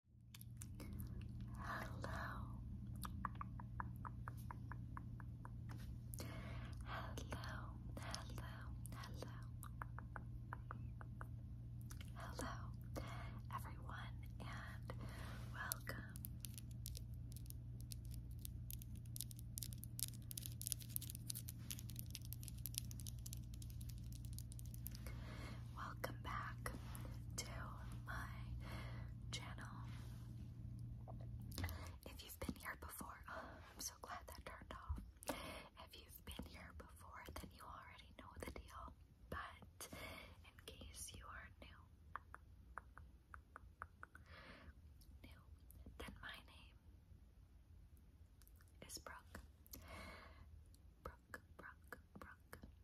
Hello. Hello. Hello. Hello. Hello, everyone, and welcome welcome back to my channel. If you've been here before, oh, I'm so glad that turned off. If you've been here before, then you already know the deal. But in case you are new, new, then my name is Brooke. Brooke, Brooke, Brooke.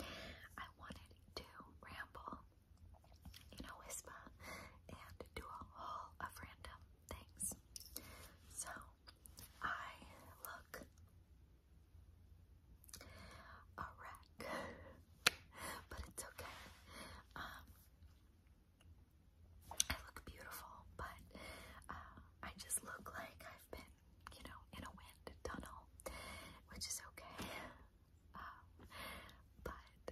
I wanted to ramble, in a whisper, and do a haul of random things. So I look a wreck, but it's okay. Um, I look beautiful, but uh, I just look like I've been you know, in a wind tunnel, which is okay. Um, but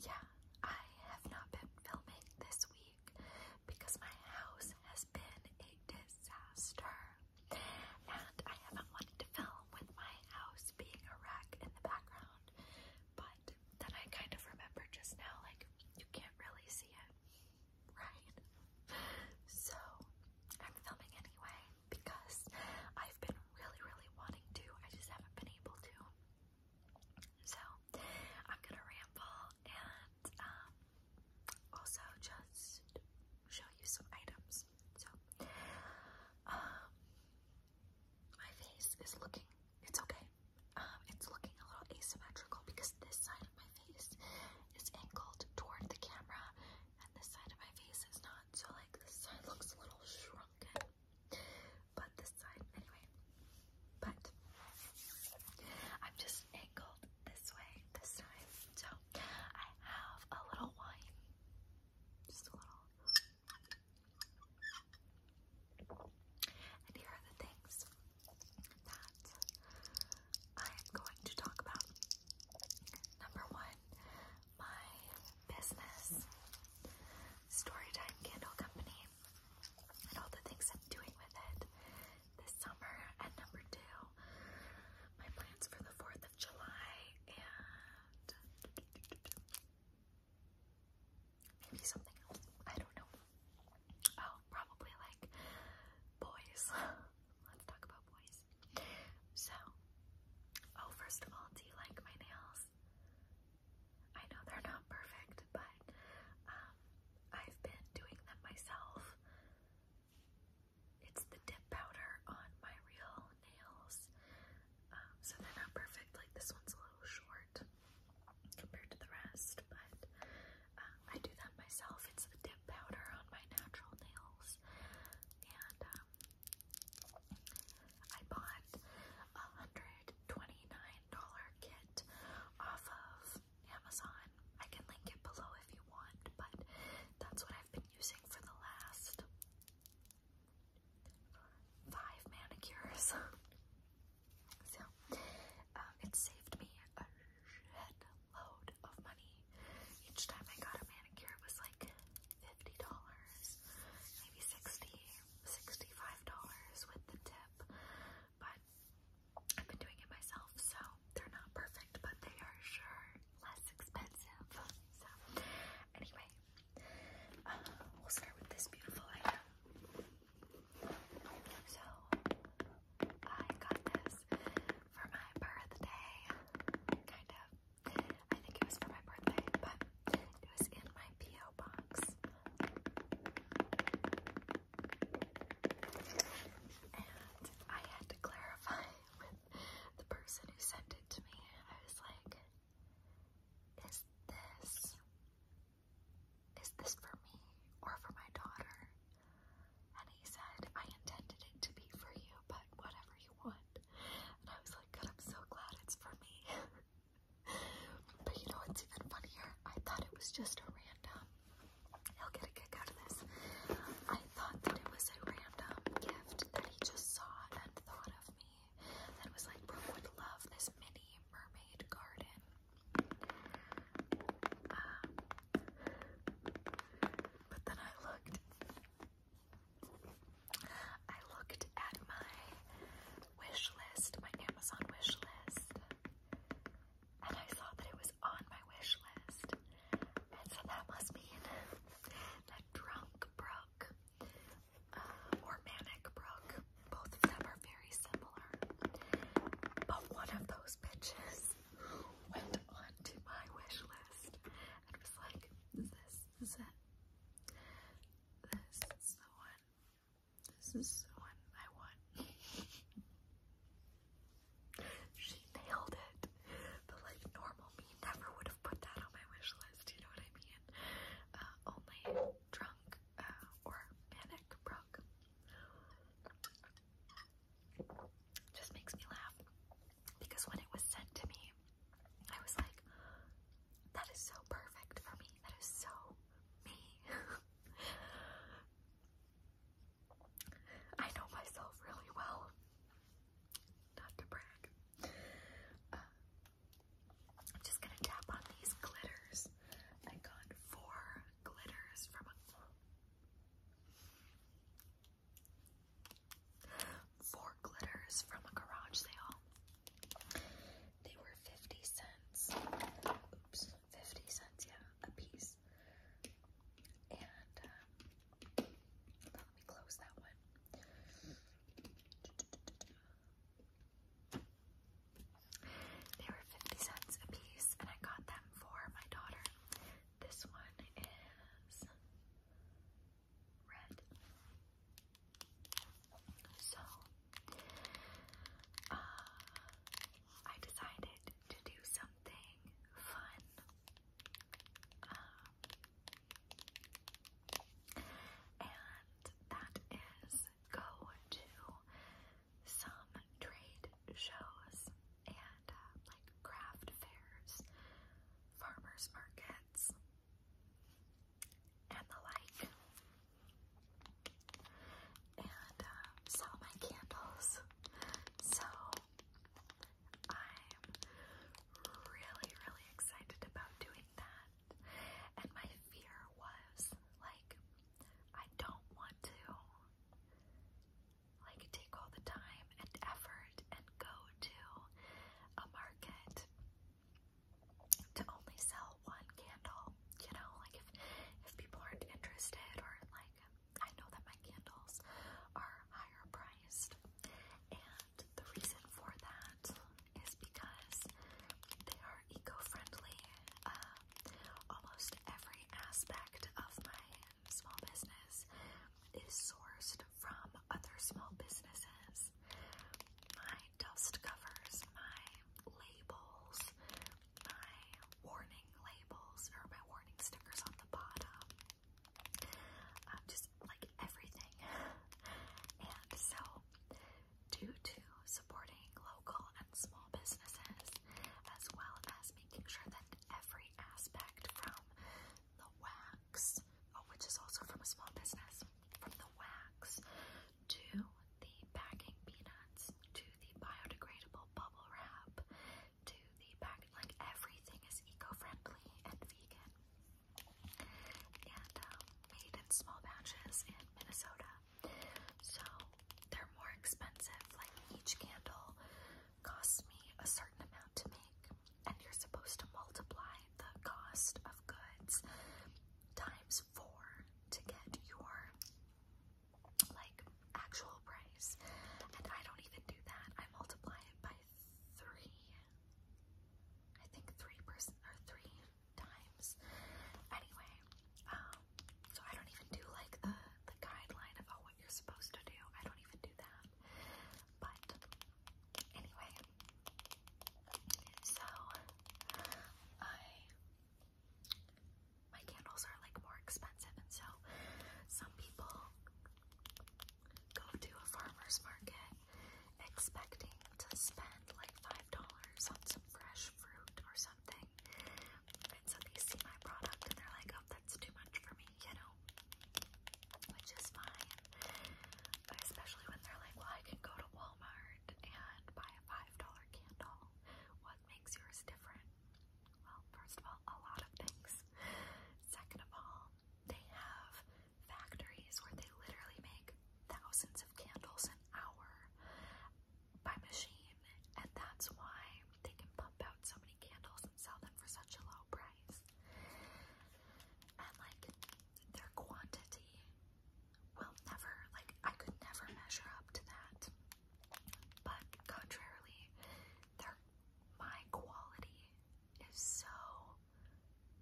yeah, I have not been filming this week because my house has been a disaster. And I haven't wanted to film with my house being a wreck in the background. But then I kind of remember just now, like, you can't really see it, right? So I'm filming anyway because I've been really, really wanting to. I just haven't been able to. So I'm gonna ramble and um, also just show you some items. So um, my face is looking. It's okay. Um, it's looking a little asymmetrical because this side of my face is angled toward the camera and this side of my face is not, so like this side looks a little shrunken, but this side, anyway, but I'm just angled this way this time, so I have a little wine, just a little, and here are the things that I am going to talk about number one, my business, Storytime Candle Company, and all the things I'm doing with it this summer. And number two, my plans for the 4th of July and maybe something else. I don't know. Oh, probably like boys. Let's talk about boys so, oh, first of all, do you like my nails? I know they're not perfect, but um, I've been doing them myself. It's the dip powder on my real nails, um, so they're not perfect. Like this one's a little short compared to the rest, but um, I do that myself. It's the dip powder on my natural nails and um, I bought a hundred twenty-nine dollar kit off of Amazon. I can link it below if you want, but that's what I've been using for the last five manicures. so um, it saved me a shit load of money. Each time I got a manicure, it was like $50, maybe $60, $65 with the tip. But I've been doing it myself, so they're not perfect, but they are sure less expensive. So, anyway, uh, we'll start with this beautiful item. So, I got this for my birthday, kind of. I think it was for my birthday, but it was in my P.O. box. And I had to clarify with the person who sent it to me. I was like, is this, is this for me or for my daughter? And he said, I intended it to be for you, but whatever you want. And I was like, God, I'm so glad it's for me. but you know what's even funnier? I thought it was just a random, he'll get a kick out of this. I thought that it was a random gift that he just saw and thought of me and was like, Bro would love this mini mermaid garden. Um, but then I looked. I looked at my wish list, my Amazon wish list, and I saw that it was on my wish list. And so that must mean that Drunk Brooke uh, or Manic Brooke, both of them are very similar. But one of those bitches went onto my wish list and was like, this is This is the one. This is the one I want. she nailed it. But like normal me never would have put that on my wish list, you know what I mean? Uh, only drunk uh, or manic broke just makes me laugh because when it was sent to me, I was like, that is so perfect for me. That is so me. I know myself really well. Not to brag. Uh, I'm just gonna tap on these glitters. I got four glitters from Four glitters from a garage sale. They were 50 cents. Oops, 50 cents, yeah, a piece. And um, let me close that one. They were 50 cents a piece, and I got them for my daughter. This one is red. So, uh, I decided to do something fun. Um, and that is go to some trade shows and uh, like like craft fairs, farmers markets, and the like. And uh, sell my candles. So I'm really, really excited about doing that. And my fear was like, I don't want to like take all the time and effort and go to a market to only sell one candle, you know, like if if people aren't interested or like I know that my candles are higher priced and the reason for that is because they are eco-friendly. Uh, almost every aspect of my small business is sourced from other small businesses. My dust covers, my labels, my warning labels, or my warning stickers on the bottom. Um, just like everything. and so, due to supporting local and small businesses, as well as making sure that in every aspect from the wax, oh, which is also from a small business, from the wax to the packing peanuts to the biodegradable bubble wrap to the pack, like everything is eco-friendly and vegan and um, made in small batches in Minnesota. So they're more expensive, like each candle costs me a certain amount to make, and you're supposed to multiply the cost of goods times four to get your like actual price. And I don't even do that. I multiply it by three. I think three percent or three times. Anyway, um, so I don't even do like the the guideline of oh you're supposed to do. I don't even do that. But anyway, so I my candles are like more expensive, and so some people go to a farmer's market expecting to spend like five dollars on some fresh fruit or something. And so they see my product and they're like, oh, that's too much for me me, you know, which is fine. Especially when they're like, well, I can go to Walmart and buy a $5 candle. What makes yours different? Well, first of all, a lot of things. Second of all, they have factories where they literally make thousands of candles an hour by machine, and that's why they can pump out so many candles and sell them for such a low price. And like their quantity will never, like, I could never measure up to that. But contrarily, their my quality is so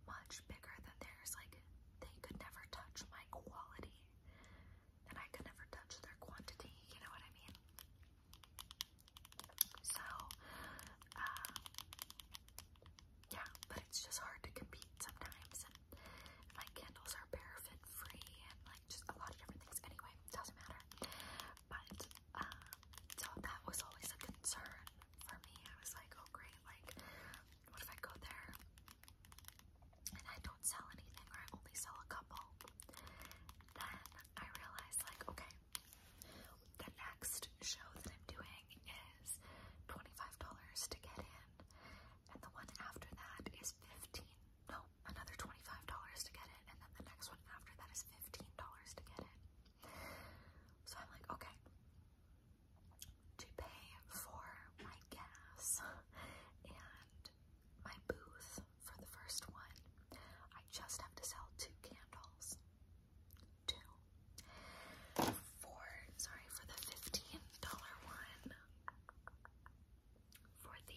much bigger than theirs. Like, they could never touch my quality, and I could never touch their quantity. You know what I mean? So, um, yeah, but it's just hard to compete sometimes. And, and my candles are paraffin free and like just a lot of different things. Anyway, doesn't matter. But, um, so that was always a concern for me. I was like, oh great, like, what if I go there and I don't sell anything or I only sell a couple? Then I realized like, okay, the next show that I'm doing is $25 to get in. And the one after that is 15, no, another $25 to get in. And then the next one after that is $15 to get in. So I'm like, okay, to pay for my gas and my booth for the first one, I just have to sell two candles. Two. For, sorry, for the $15 one, for the $15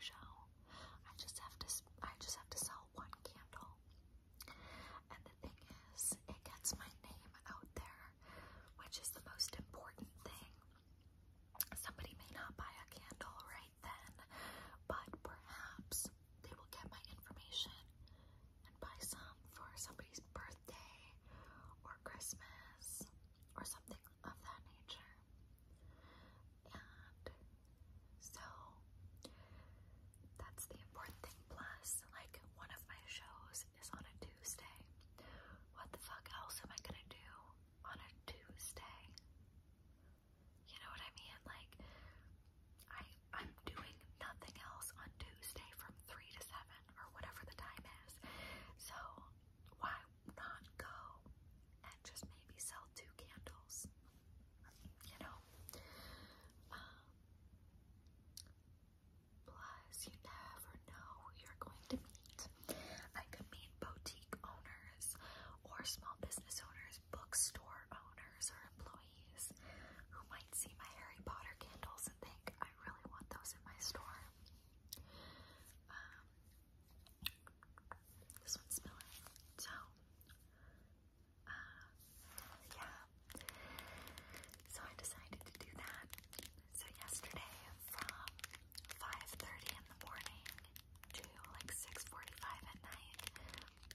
show, I just have to, I just have to sell one candle. And the thing is, it gets my name out there, which is the most important thing. Somebody may not buy a candle right then, but perhaps they will get my information and buy some for somebody's birthday or Christmas or something of that nature. And so that's the important thing. Plus, like, one of my shows is on a Tuesday. What the fuck else am I gonna do on a Tuesday. You know what I mean? Like I I'm doing nothing else on Tuesday from three to seven or whatever the time is. So why not go and just maybe sell two candles? You know? Um, plus you never know who you're going to meet. I could meet boutique owners or small business owners, bookstore owners, or employees who might see my Harry Potter candles and think, I really want those in my store. Um, this one's smelling. So, uh, yeah. So I decided to do that. So yesterday from 5:30 in the morning to like 6:45 at night.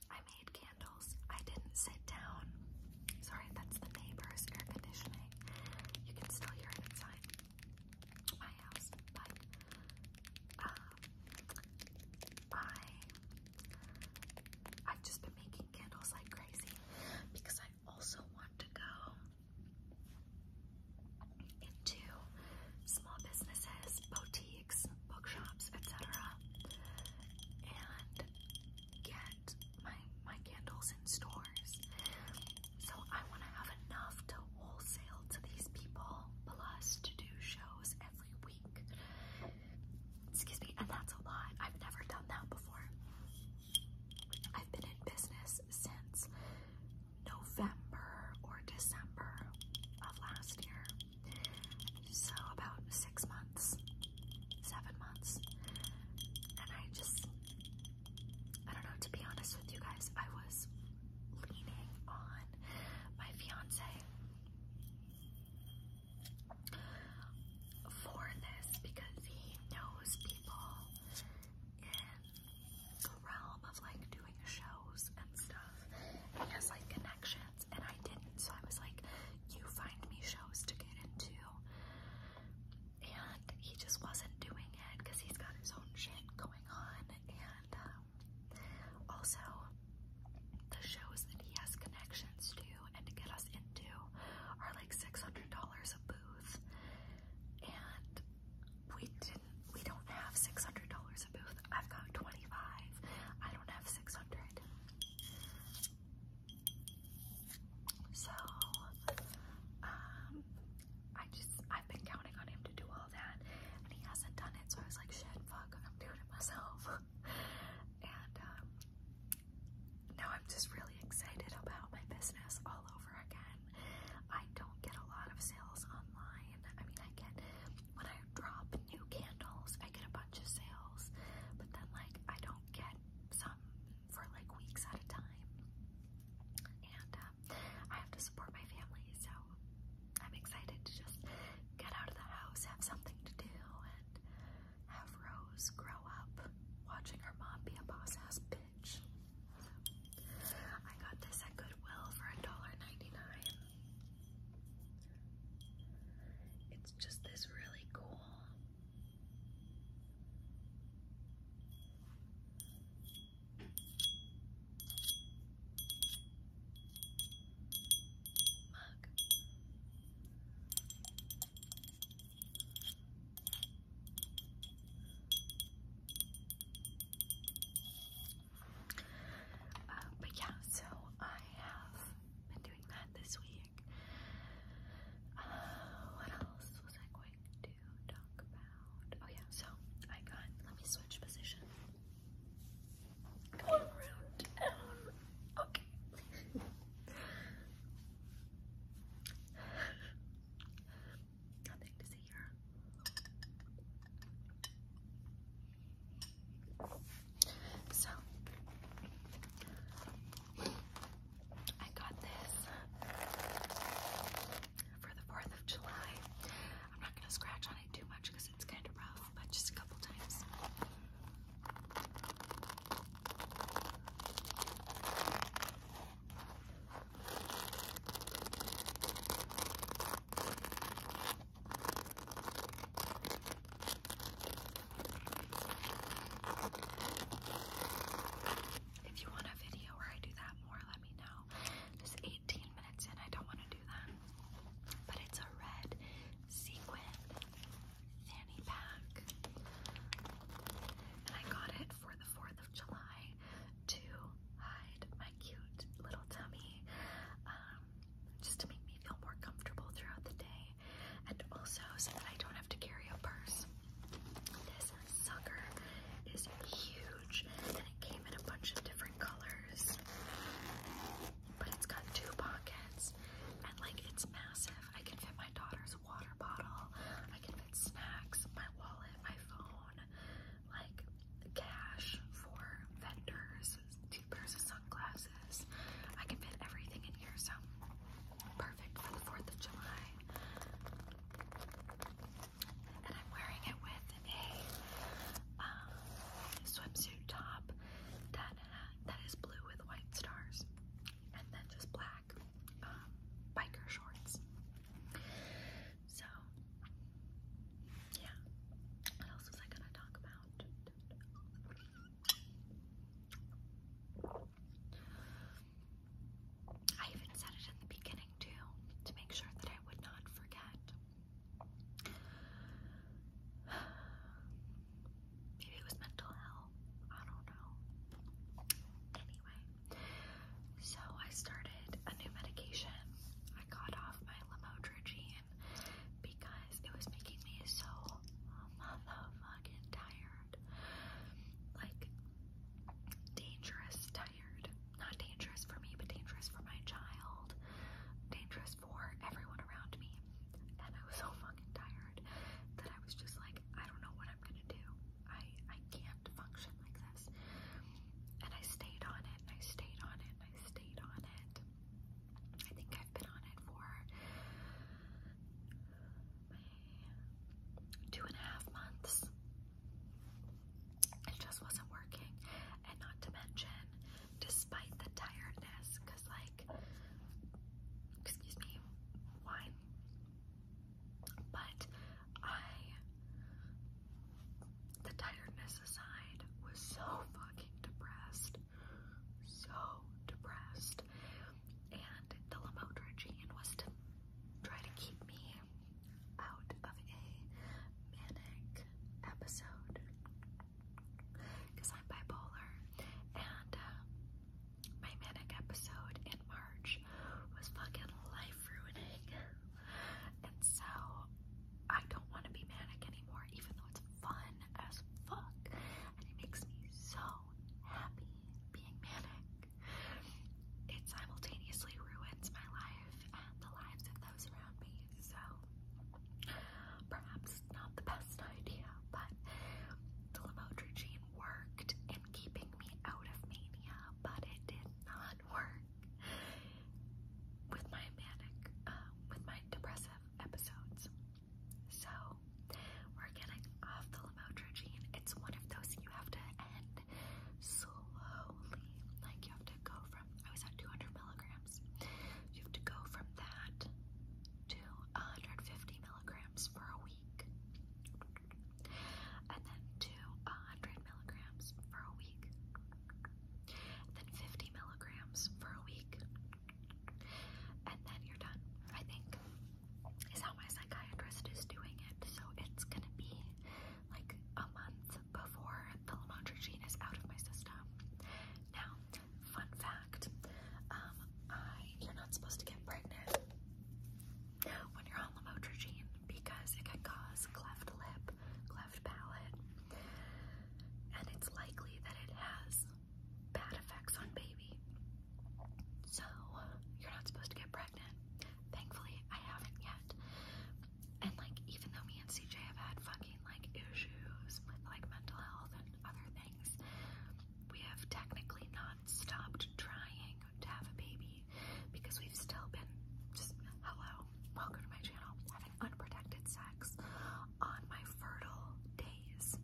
I made candles. I didn't sit down. Sorry, that's the neighbor's air conditioning. You can still hear it inside my house, but um, I I've just been making candles like crazy because I also want to go into small businesses, boutiques, bookshops, etc. And get my my candles in stores. So I want to have enough to wholesale to these people, plus to do shows every week. Excuse me, and that's a lot. I've never done that before. I've been in business since November or December of last year. So about six months, seven months. And I just, I don't know, to be honest with you guys, I was leaning on my fiance for this because he knows people realm of like doing shows and stuff. And has like connections, and I didn't. So I was like, "You find me shows to get into." And he just wasn't doing it because he's got his own shit going on, and um, also the shows that he has connections to and to get us into are like six hundred dollars a booth, and we didn't we don't have six hundred dollars a booth. I've got twenty five. I don't have six hundred. So um I just I've been counting on him to do all that and he hasn't done it so I was like shit fuck I'm doing it myself and um, now I'm just really excited about my business all over again I don't get a lot of sales online. I mean, I get when I drop new candles, I get a bunch of sales, but then like I don't get some for like weeks at a time. And um, I have to support my family, so I'm excited to just get out of the house, have something to do, and have Rose grow up watching her mom be a boss ass bitch. I got this at Goodwill for $1.99. It's just this really cool mug. Uh, but yeah, so I have been doing that this week. Uh, what else was I going to talk about? Oh yeah, so I got, let me switch position. Going around down. Okay. Nothing to see here. So I got this for the 4th of July. I'm not going to scratch on it too much because it's kind of rough, but just a couple times. If you want a video where I do that more, let me know. This 18 minutes in, I don't want to do that. But it's a red sequin fanny pack. And I got it for the 4th of July to hide my cute little tummy um, just to make me feel more comfortable throughout the day and also so that I don't have to carry a purse. This sucker is huge and it came in a bunch of different colors. But it's got two pockets and like it's massive. I can fit my daughter's water bottle, I can fit snacks, my wallet, my phone, like cash for vendors, two pairs of sunglasses. I can fit everything in here, so perfect for the 4th of July. And I'm wearing it with a um, swimsuit top that that is blue with white stars, and then just black um, biker shorts. So, yeah. What else was I gonna talk about? I even said it in the beginning too, to make sure that I would not forget. Maybe it was mental health. I don't know. Anyway, so I started a new medication. I got off my lamotrigine because it was making me so um, motherfucking tired. Like, dangerous tired. Not dangerous for me, but dangerous for my child. Dangerous for everyone around me. And I was so fucking tired that I was just like, I don't know what I'm gonna do. I I can't function like this. And I stayed on it, and I stayed on it, and I stayed on it. I think I've been on it for two and a half months. It just wasn't working. And not to mention, despite the tiredness, because like excuse me, why? But I, the tiredness aside, was so fucking depressed. So depressed. And the Lamote Regine was to try to keep me out of a manic episode. Because I'm bipolar. And uh, my manic episode in March was fucking life ruining. And so I don't want to be manic anymore, even though it's fun as fuck. And it makes me so happy being manic. It simultaneously ruins my life and the lives of those around me. So perhaps not the best idea, but the Lamotrigine worked in keeping me out of mania, but it did not work with my manic, uh, with my depressive episodes. So we're getting off the lamotrigine. It's one of those you have to end slowly. Like you have to go from I was at 200 milligrams. You have to go from that to 150 milligrams for a week and then to milligrams for a week, then 50 milligrams for a week, and then you're done. I think is how my psychiatrist is doing it. So it's gonna be like a month before the lamotrigine is out of my system. Now, fun fact: um, you're not supposed to get pregnant when you're on lamotrigine because it can cause cleft lip, cleft palate, and it's likely that it has bad effects on baby. So, you're not supposed to get pregnant. Thankfully, I haven't yet. And, like, even though me and CJ have had fucking, like, issues with, like, mental health and other things, we have technically not stopped trying to have a baby because we've still been just hello, welcome to my channel, having unprotected sex on my fertile days.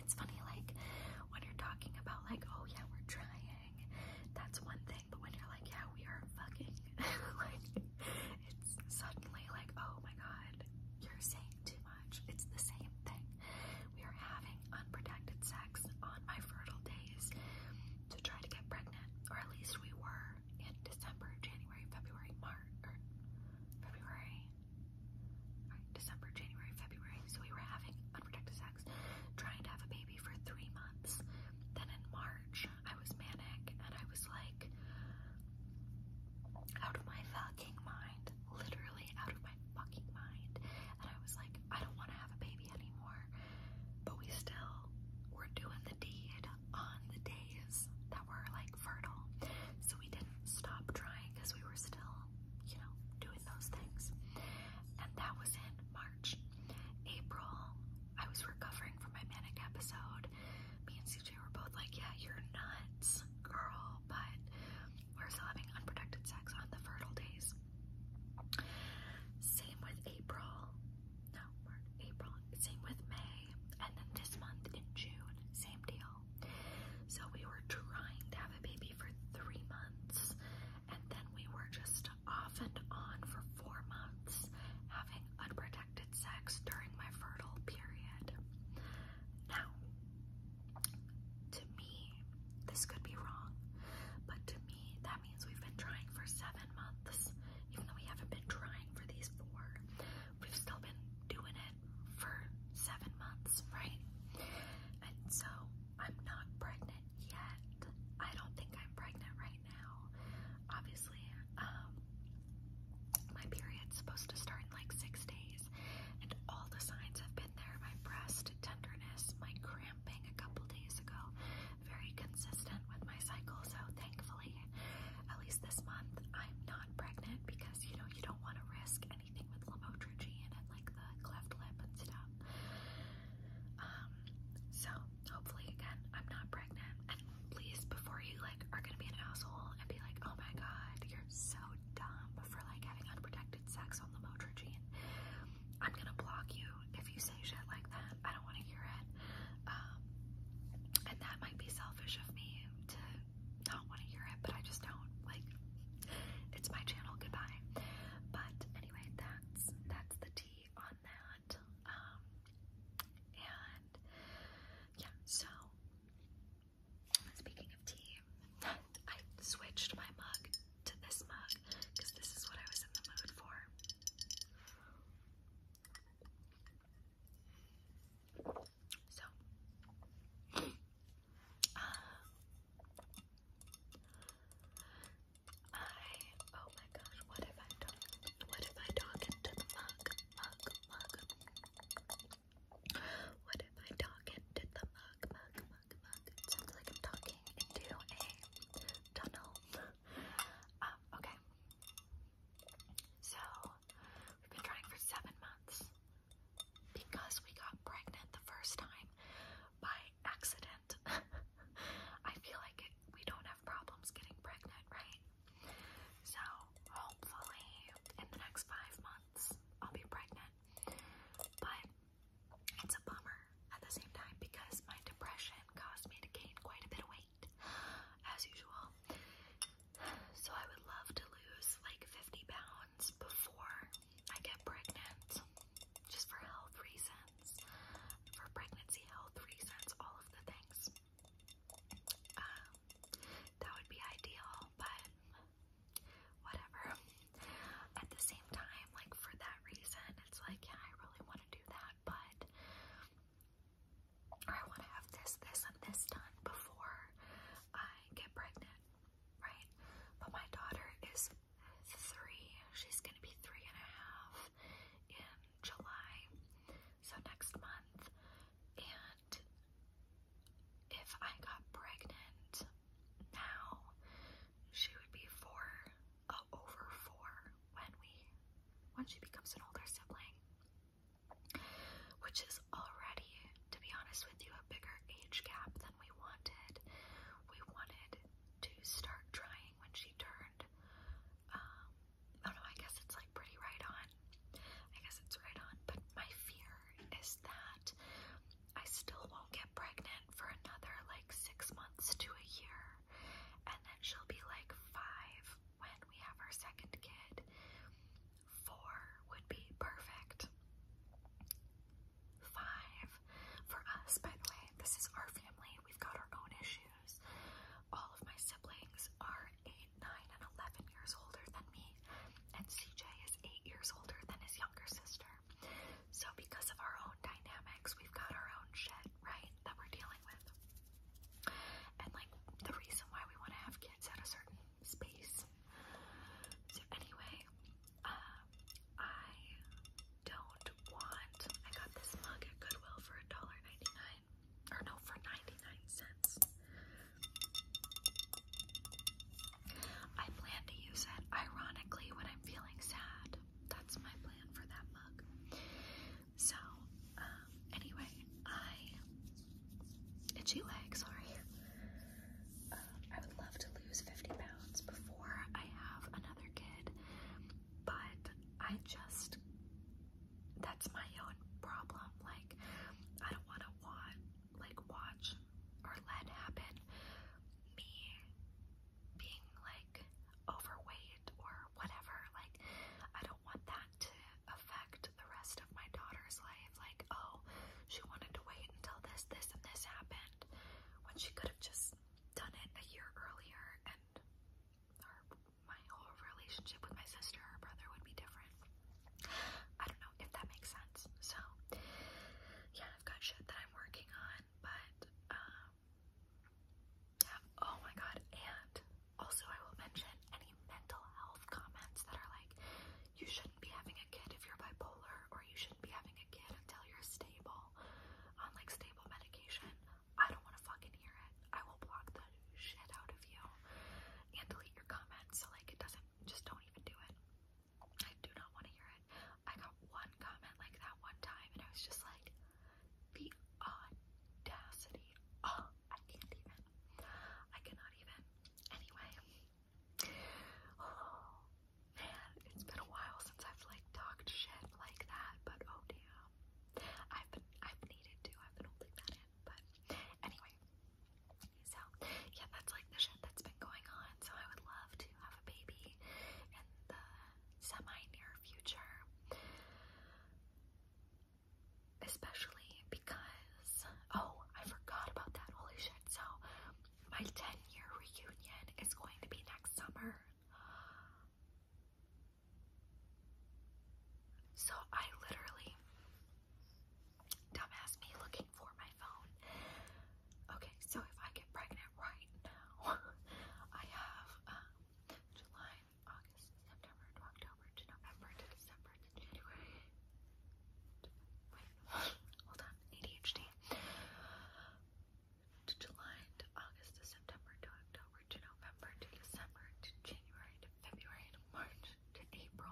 It's funny, like when you're talking about like, oh yeah, we're trying, that's one thing, but when you're like, yeah, we are fucking, like it's suddenly like, oh my god, you're saying too much. It's the same thing. We are having unprotected sex on my fertile days to try to get pregnant, or at least we were in December, January, February, March, February, December, January, February. So we were having unprotected sex, trying to have a baby for three months. Then in March, I was manic and I was like, out of my fucking mind, literally literally out of my fucking mind. And I was like, I don't want to have a baby anymore. But we still were doing the deed on the days that were like fertile. So we didn't stop trying because we were still, you know, doing those things. And that was in March. April, I was recovering from my manic episode. Me and CJ were both like, yeah, you're nuts, girl, but we're still having unprotected sex on the fertile days. Same with April. No, April. Same with May. And then this month in June, same deal. So we were trying to have a baby for three months. And then we were just off and on for four months, having unprotected sex during my fertile period. Now, to me, this could be wrong, but to me, that means we've been trying for seven months. Even though we haven't been trying for these four, we've still been doing it for seven months, right? And so I'm not pregnant yet. I don't think I'm pregnant right now. Obviously, um, my period's supposed to start in like six days, and all the signs have been there my breast tenderness, my cramp a couple days ago. Very consistent with my cycle, so thankfully, at least this month, I'm not pregnant because you know you don't want to risk anything with lamotrigine and like the cleft lip and stuff. Um, so hopefully, again, I'm not pregnant. And please, before you like are gonna be an asshole and be like, oh my god, you're so dumb for like having unprotected sex on the Motrigine. I'm gonna block you if you say shit like that. I don't want to hear it. Um, and that might be selfish of me to not want to hear it, but I just don't. Like, it's my channel. Goodbye. But anyway, that's that's the tea on that. Um, and yeah, so speaking of tea, I switched my mug to this mug because this is what I was in the mood for. So, um, I, oh my gosh, what if I talk, what if I talk into the mug, mug, mug? What if I talk into the mug, mug, mug? It sounds like I'm talking into a tunnel. Um, okay. So, we've been trying for seven months because we got pregnant the first time by accident. I feel like we don't have problems getting pregnant, right? So, hopefully, in the next five months, I'll be pregnant. But it's a bummer at the same time because my depression caused me to gain quite a bit of weight, as usual. So I would love to lose like 50 pounds before I get pregnant, just for health reasons, for pregnancy health reasons, all of the things. Um, that would be ideal, but whatever. At the same time, like for that reason, it's like, yeah, I really want to do that, but or I want to have this, this, and this done before I get pregnant, right? But my daughter is three. She's gonna be three and a half in July, so next month. And if I got pregnant now, she would be four, uh, over four when we, when she becomes an older sibling, which is already, to be honest with you, a bigger age gap than we wanted. We wanted to start trying when she turned, um, oh no, I guess it's like pretty right on. I guess it's right on, but my fear is that I still won't get pregnant for another like six months to a year, and then she'll be like five when we have our second kid. Four would be perfect. Five for us, by the way, this is our family, we've got our own issues. All of my siblings are eight, nine, and 11 years older than me, and CJ is eight years older than his younger sister. So, because of our own dynamics, we've got our own shit, right, that we're dealing with. And, like, the reason why we want to have kids at a certain space. So, anyway, um, I don't want. I got this mug at Goodwill for $1.99. Or, no, for 99 cents. I plan to use it ironically when I'm feeling sad. That's my plan for that mug. So, um, anyway, I it's you, leg, sorry. Um, I would love to lose 50 pounds before I have another kid, but I just that's my own problem. Like, I don't want to watch, like watch or let happen me being like overweight or whatever. Like, I don't want that to affect the rest of my daughter's life. Like, oh, she wanted to wait until this, this, and this happened when she could have just done it a year earlier, and my whole relationship with my sister or brother would be different. I don't know if that makes sense. So, yeah, I've got shit that I'm working on, but, um, yeah, oh my god, and also I will mention any mental health comments that are like, you shouldn't be having a kid if you're bipolar, or you shouldn't be having a kid until you're stable, on like stable medication. I don't want to fucking hear it. I will block the shit out of you and delete your comments. So like, it doesn't, just don't even do it. I do not want to hear it. I got one comment like that one time, and I was just like, the audacity. Oh, I can't even. I cannot even. Anyway. Oh, man, it's been a while since I've like talked shit like that, but oh damn. I've been I've needed to. I've been holding that in. But anyway, so yeah, that's like the shit that's been going on. So I would love to have a baby in the semi-near future. Especially because oh, I forgot about that. Holy shit. So my 10-year reunion is going to be next summer. So I literally dumbass me looking for my phone. Okay, so if I get pregnant right now, I have um, July, August, September October November December January. wait, hold on, ADHD. To July to August to September to October to November to December to January to February to March to April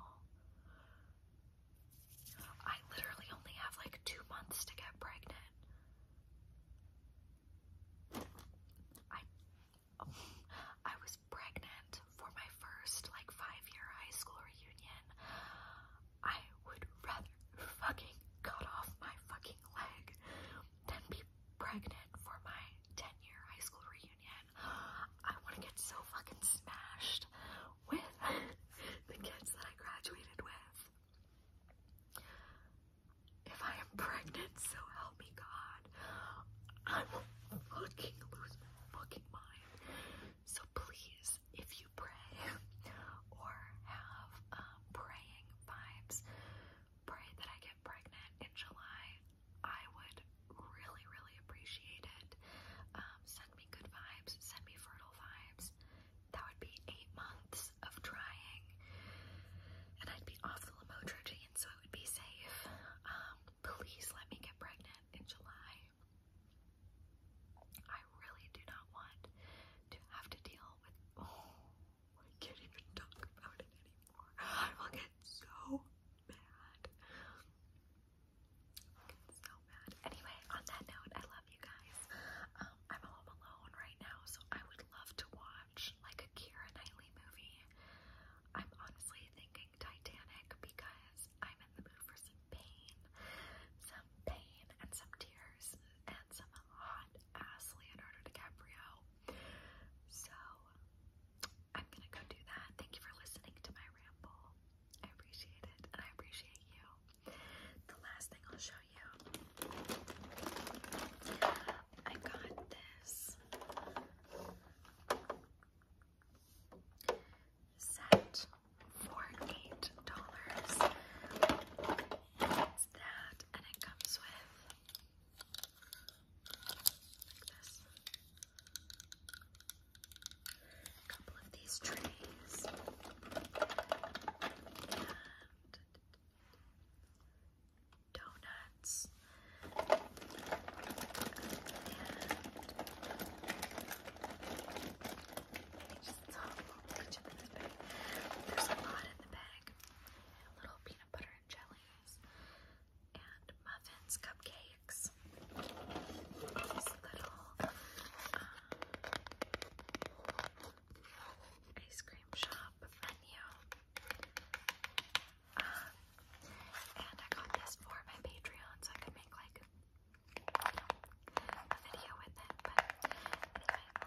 I literally only have like two months to get pregnant. I I was pregnant for my first like five-year high school reunion. I would rather fucking cut off my fucking leg than be pregnant for my 10-year high school reunion. I want to get so fucking smashed with the kids that I graduated with. If I am pregnant, so help me God, I will fucking lose my fucking mind. So please, if you pray or have um, praying vibes, pray that I get pregnant in July. I would really, really appreciate it. Um, send me good vibes, send me fertile vibes. That would be eight months of trying, and I'd be off the lamotrigine, so it would be safe. Um, please let me get pregnant in July. I really do not want to have to deal with. Oh, I can't even talk about it anymore. I will get so mad. Anyway, on that note, I love you guys. Um, I'm home alone right now, so I would love to watch like a Keira Knightley movie. I'm honestly thinking Titanic because I'm in the mood for some pain, some pain, and some tears, and some hot ass Leonardo DiCaprio. So I'm gonna go do that. Thank you for listening to my ramble. I appreciate it, and I appreciate you. The last thing I'll show you, I got this set for eight dollars. It's that, and it comes with like this a couple of these trays. donuts and just There's a lot in the bag. Little peanut butter and jellies and muffins, cupcakes, little um, ice cream shop menu. Um, and I got this for my Patreon so I could make like a video with it. But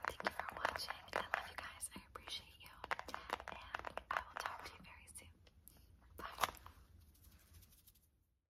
thank you for watching. I love you guys. I appreciate you. And I will talk to you very soon. Bye.